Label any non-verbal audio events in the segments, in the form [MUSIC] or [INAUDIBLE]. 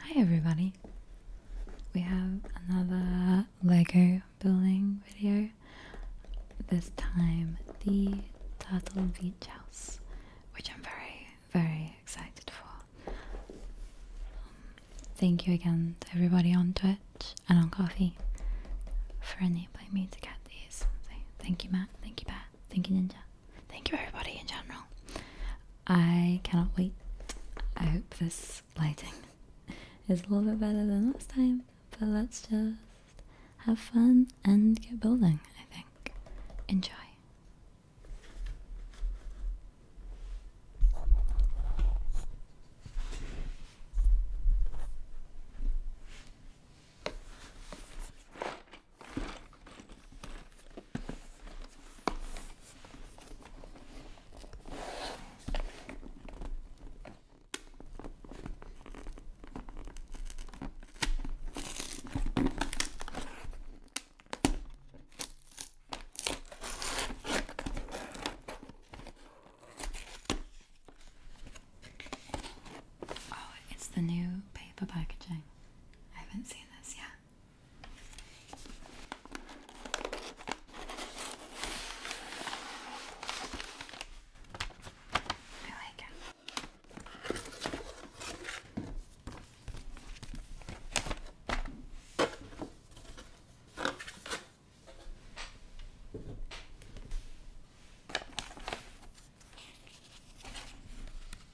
Hi everybody! We have another Lego building video. This time the Turtle Beach House, which I'm very, very excited for. Um, thank you again to everybody on Twitch and on Coffee for enabling me to get these. thank you, Matt. Thank you, Pat. Thank you, Ninja. Thank you, everybody in general. I cannot wait. I hope this lighting is a little bit better than last time, but let's just have fun and get building, I think. Enjoy. Oh, it's the new paper packaging. I haven't seen this yet. I like it.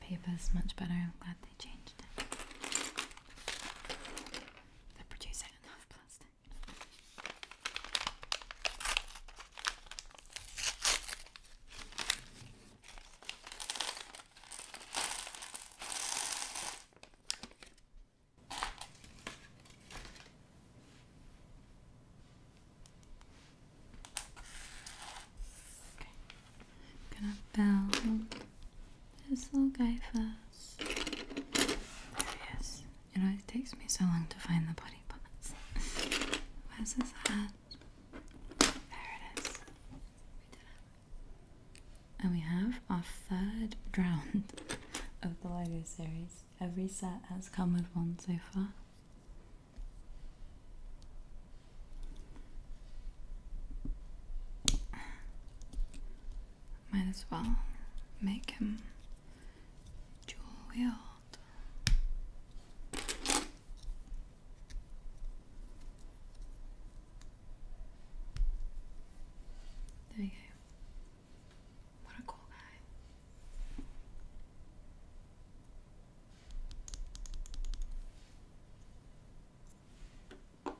Paper is much better. I'm glad they changed it. They're producing enough plastic. Okay. gonna bound this little guy first. There he is. You know, takes me so long to find the body parts. Where's his hat? There it is. And we have our third round of the LEGO series. Every set has come with one so far. Might as well make him dual wield. There you go. What a cool guy.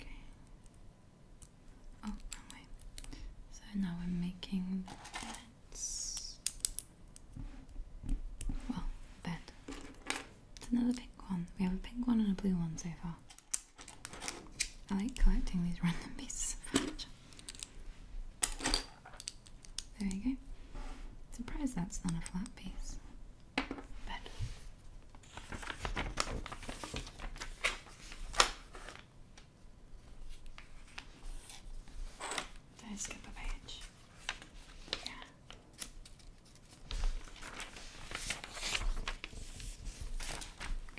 Okay. Oh, wrong So now we're making beds. Well, bed. It's another pink one. We have a pink one and a blue one so far. I like collecting these [LAUGHS] random pieces of fabric. There you go. Surprised that's not a flat piece. But did I skip a page? Yeah.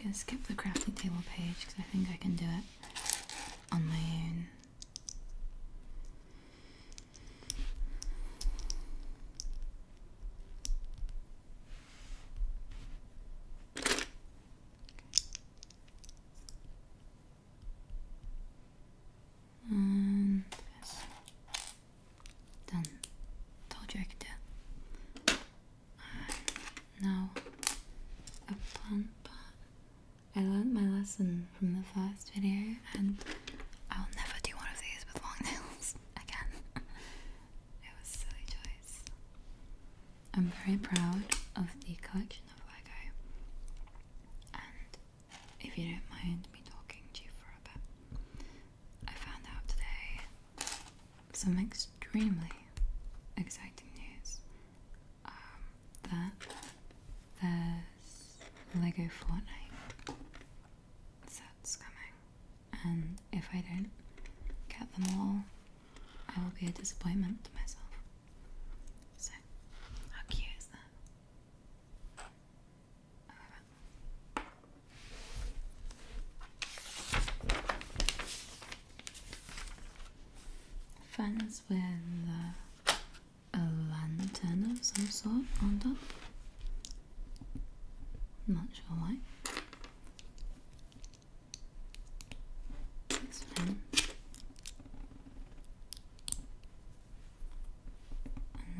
gonna skip the crafting table page because I think I can do it on my own and um, Done. Told you I could do now a plant pot. I learned my lesson from the first video and I'll never do one of these with long nails [LAUGHS] again. it was a silly choice. I'm very proud of the collection of Lego and if you don't mind me talking to you for a bit, I found out today some extremely exciting news um, that there's Lego Fortnite sets coming, and if I don't get them all, I will be a disappointment to myself. So, how cute is that? I with. Uh, a lantern of some sort on top. Not sure why.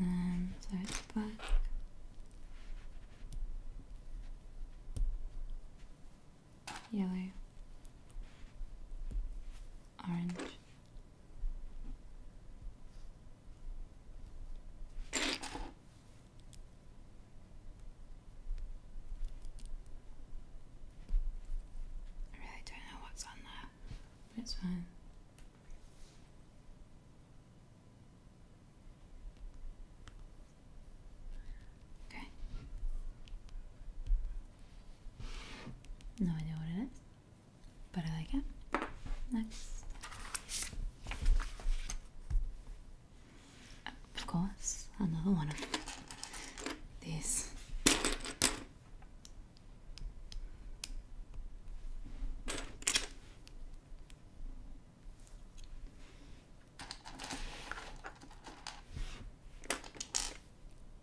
And then so it's back. Yellow orange. I really don't know what's on there, it's fine. Okay. No idea what it is but I like it. Next. Of course, another one of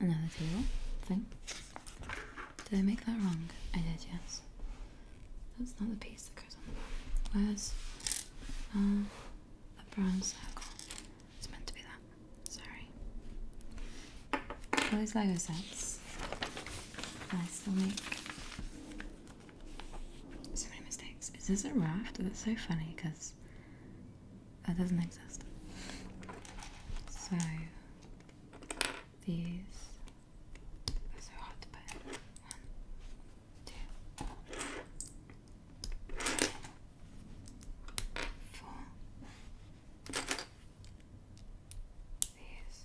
Another table thing. Did I make that wrong? I did, yes. That's not the piece that goes on the bottom. Where's uh, the brown circle? It's meant to be that. Sorry. All these Lego sets. I still make so many mistakes. Is this a raft? That's so funny because that doesn't exist. So these are so hard to put. One, two, four. These.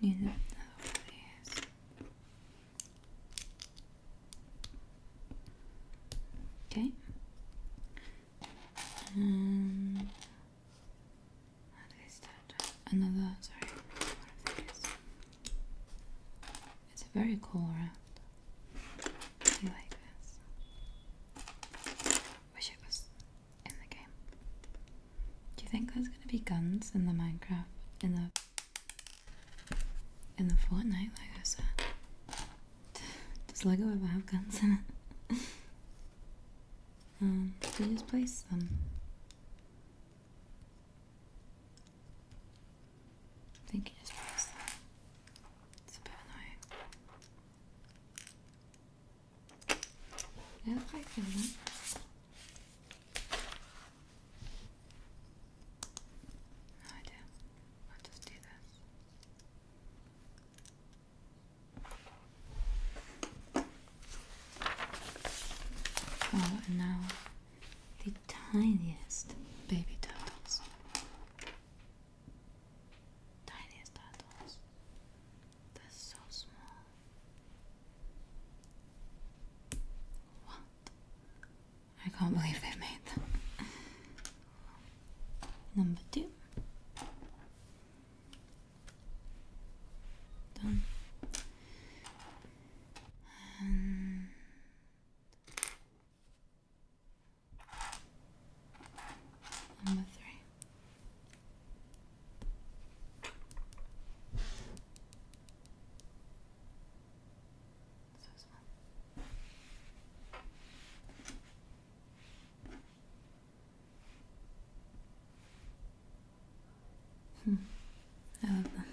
You it is. Okay. Um, Another, sorry, It's a very cool round. I like this. Wish it was in the game. Do you think there's gonna be guns in the Minecraft in the in the Fortnite like I said. Does Lego ever have guns in it? [LAUGHS] um, do you just place them? I think you just place them. It's a bit annoying. Yep, I feel No idea. I'll just do this. Oh, and now the tiniest baby turtles. Tiniest turtles. They're so small. What? I can't believe they made them. Number two. Done. And Number three. So small. Hmm. I love them.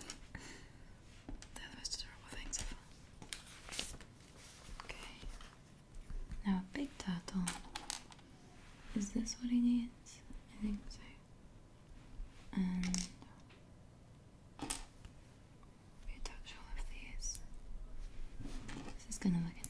They're the most adorable things ever. Okay. Now a big turtle. Is this what he needs? I think so. And we touch all of these. This is gonna look interesting.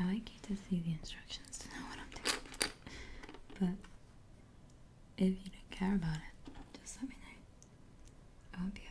I like you to see the instructions to know what I'm doing. But if you don't care about it, just let me know. I won't be offended.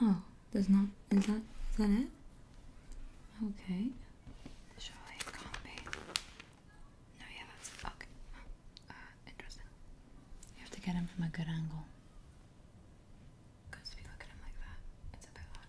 Oh, there's not. Is that is that it? Okay. Surely it can't be. No, yeah, that's okay. Uh, interesting. You have to get him from a good angle. Because if you look at him like that, it's a bit hard.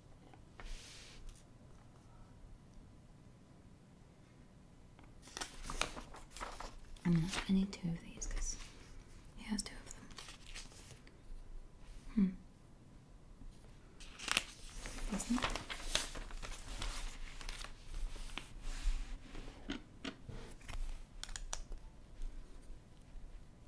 I need two of these because he has two of them. Hmm.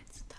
It's done.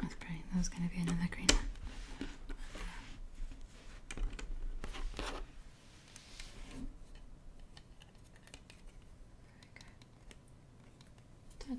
That's pretty. That was gonna be another green one. Turtle.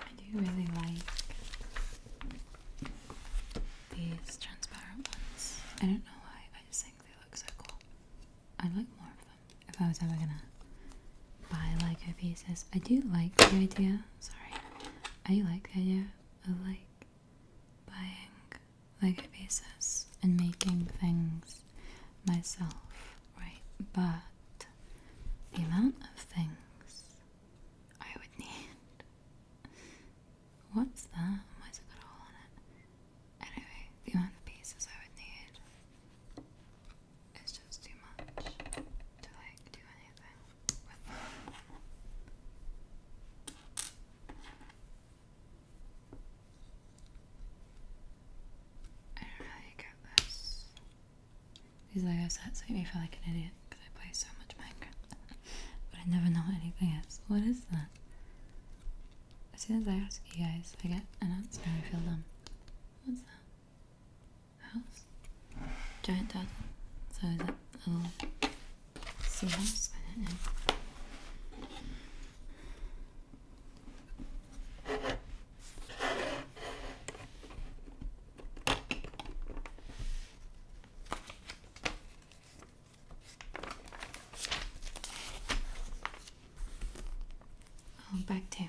I do really like these transparent ones. I don't know why, I just think they look so cool. I like more of them if I was ever gonna buy Lego pieces. I do like the idea, sorry, I like the idea of like buying Lego pieces and making things myself, right? But the amount of things I would need. What's that? Why is it got all on it? Anyway, the amount of pieces I would need it's just too much to like do anything I don't know how you get this. These Lego sets make me feel like an idiot because I play so much Minecraft, [LAUGHS] but I never know anything is. What is that? As soon as I ask you guys, I get announced and I feel dumb. What's that? house? Giant turtle. So a little seahouse? I don't know. Oh, back tail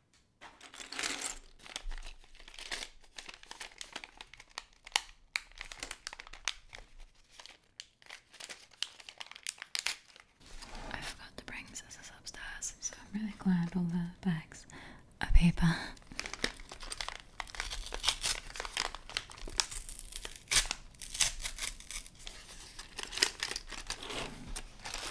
I forgot to bring scissors upstairs, so I'm really glad all the bags are paper.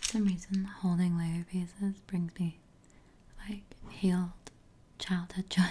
For some reason holding Lego pieces brings me like healed childhood joy. [LAUGHS]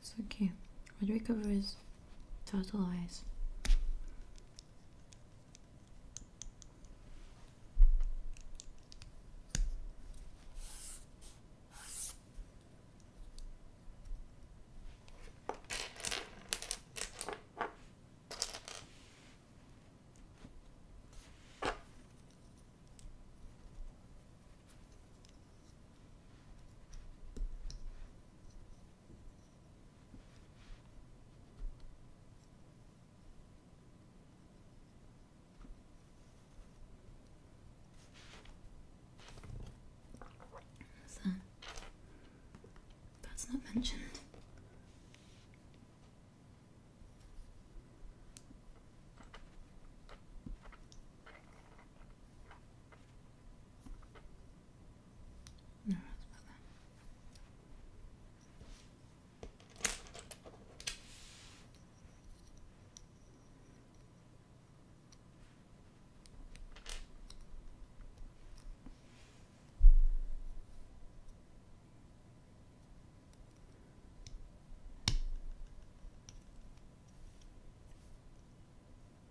It's okay. What do we cover is total eyes that's not mentioned. No, that's about that.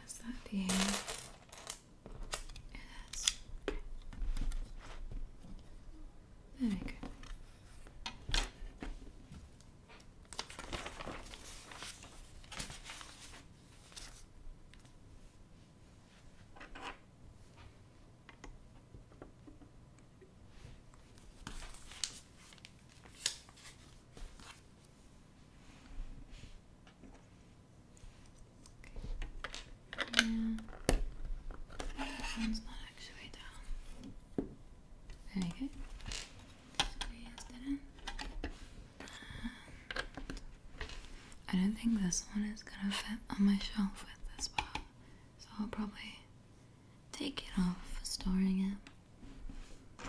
What's that being? There we go. Okay. Yeah. one's not actually down. There you go. Squeeze that I don't think this one is gonna fit on my shelf with this bar, so I'll probably take it off for storing it.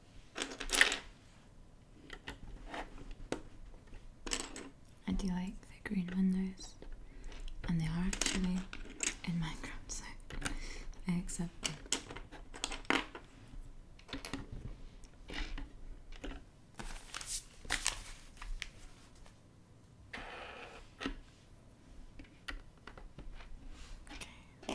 I do like the green windows, and they are actually in Minecraft, so I accept them. Okay.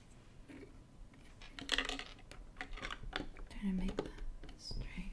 Trying to make that straight.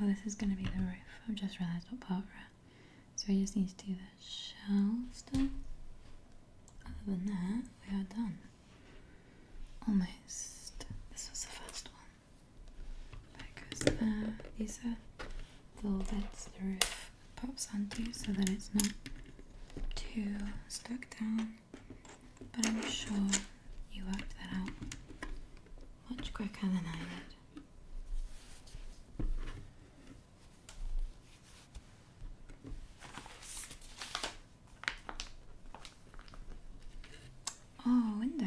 Oh, this is going to be the roof. I've just realised what part we're at. So we just need to do the shell stuff. Other than that, we are done. Almost. This was the first one. That goes there. These are the little the roof pops onto so that it's not too stuck down but I'm sure you worked that out much quicker than I did. Oh, window.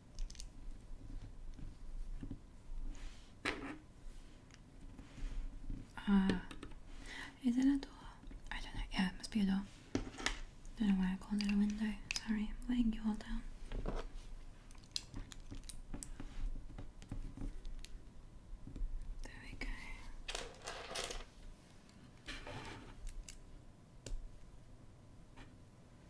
Uh, is it a door? I don't know. Yeah, it must be a door. Don't know why I called it a window. Sorry, I'm letting you all down. There we go.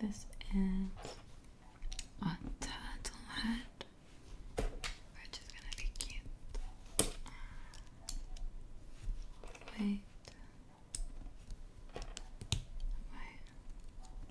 This is a turtle head, which is gonna be cute. Wait. Wait.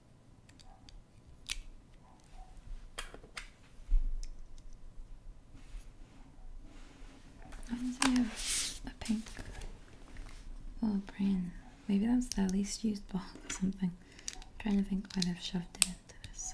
Why does he have a pink little brain? Maybe that's the least used box [LAUGHS] or something. trying to think why they've shoved it into this.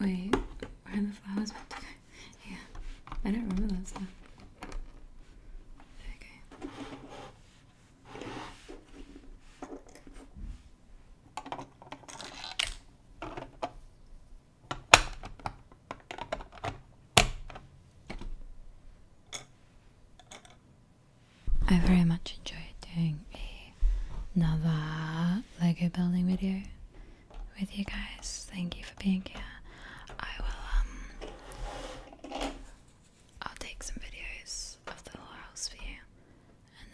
Wait, where are the flowers put together? Yeah, I don't remember that stuff. I very much enjoyed doing another Lego building video with you guys. Thank you for being here. I will um I'll take some videos of the whole house for you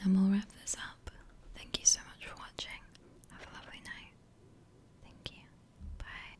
and then we'll wrap this up. Thank you so much for watching. Have a lovely night. Thank you. Bye.